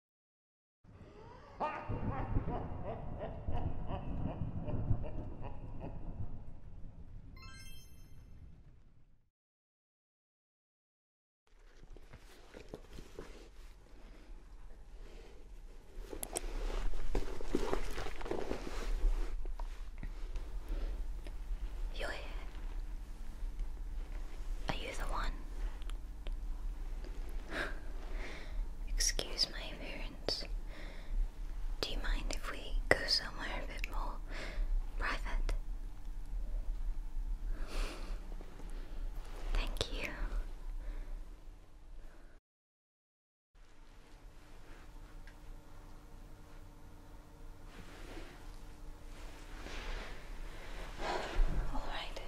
you Are you the one? Excuse my appearance. Do you mind if we go somewhere a bit more private? Thank you. All right.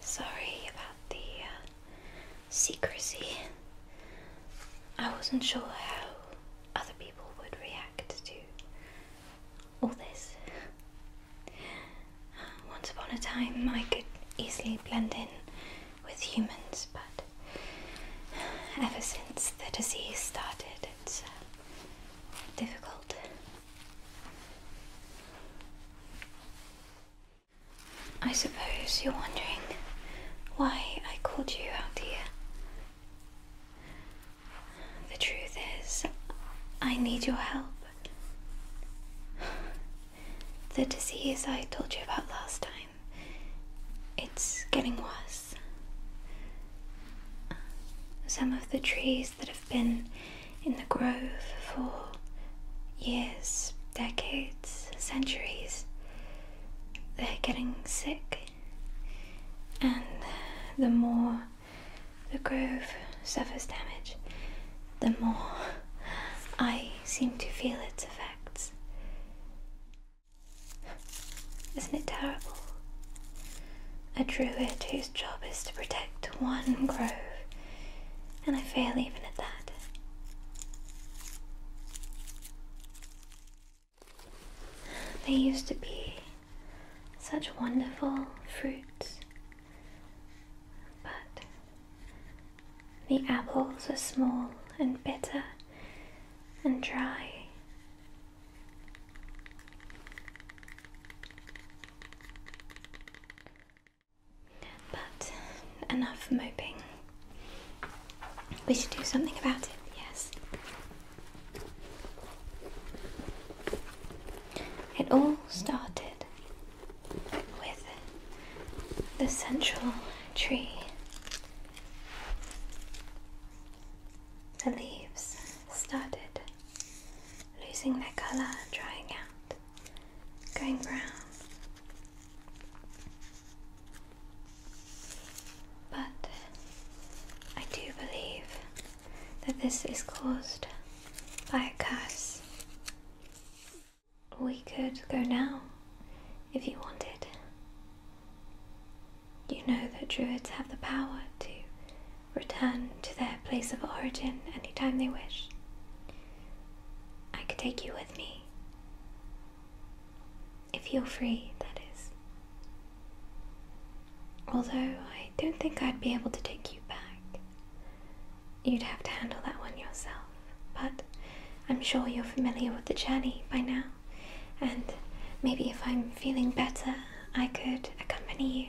Sorry about the uh, secrecy. I wasn't sure how other people would react to all this. Uh, once upon a time, I could easily blend in with humans, but uh, ever since the disease started, it's difficult. I suppose you're wondering why I called you out here. The truth is, I need your help. The disease I told you about last time, it's getting worse. Some of the trees that have been in the grove for years, decades, centuries. They're getting sick, and the more the grove suffers damage, the more I seem to feel its effects. Isn't it terrible? A druid who's job is to protect one grove, and I fail even at that. They used to be such wonderful fruits, but the apples are small and bitter and dry but enough moping. We should do something about it, yes. It all started with the central tree. The leaves started losing their colour, drying out, going brown. But uh, I do believe that this is caused by a curse. We could go now if you wanted. You know that druids have the power to return to their place of origin anytime they wish. I could take you with me. If you're free, that is. Although I don't think I'd be able to take you back. You'd have to handle that one yourself, but I'm sure you're familiar with the journey by now, and maybe if I'm feeling better, I could accompany you.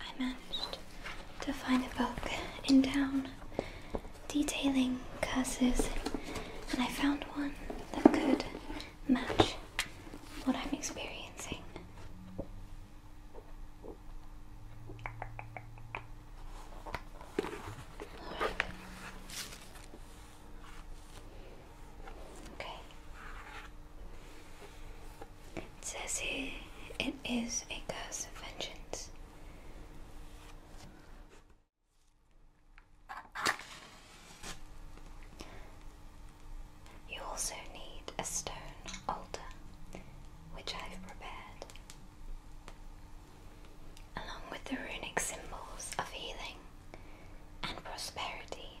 I managed to find a book in town detailing curses, and I found one that could match what I'm experiencing. Alright. Okay. It says here it is a curse of vengeance. You also need a stone altar, which I've prepared, along with the runic symbols of healing and prosperity.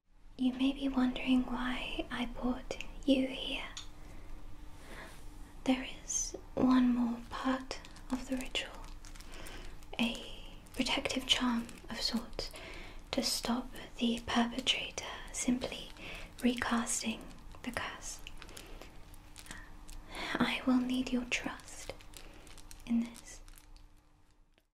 You may be wondering why I brought you here. There is one more part of the ritual a protective charm of sorts to stop the perpetrator simply recasting the curse. I will need your trust in this.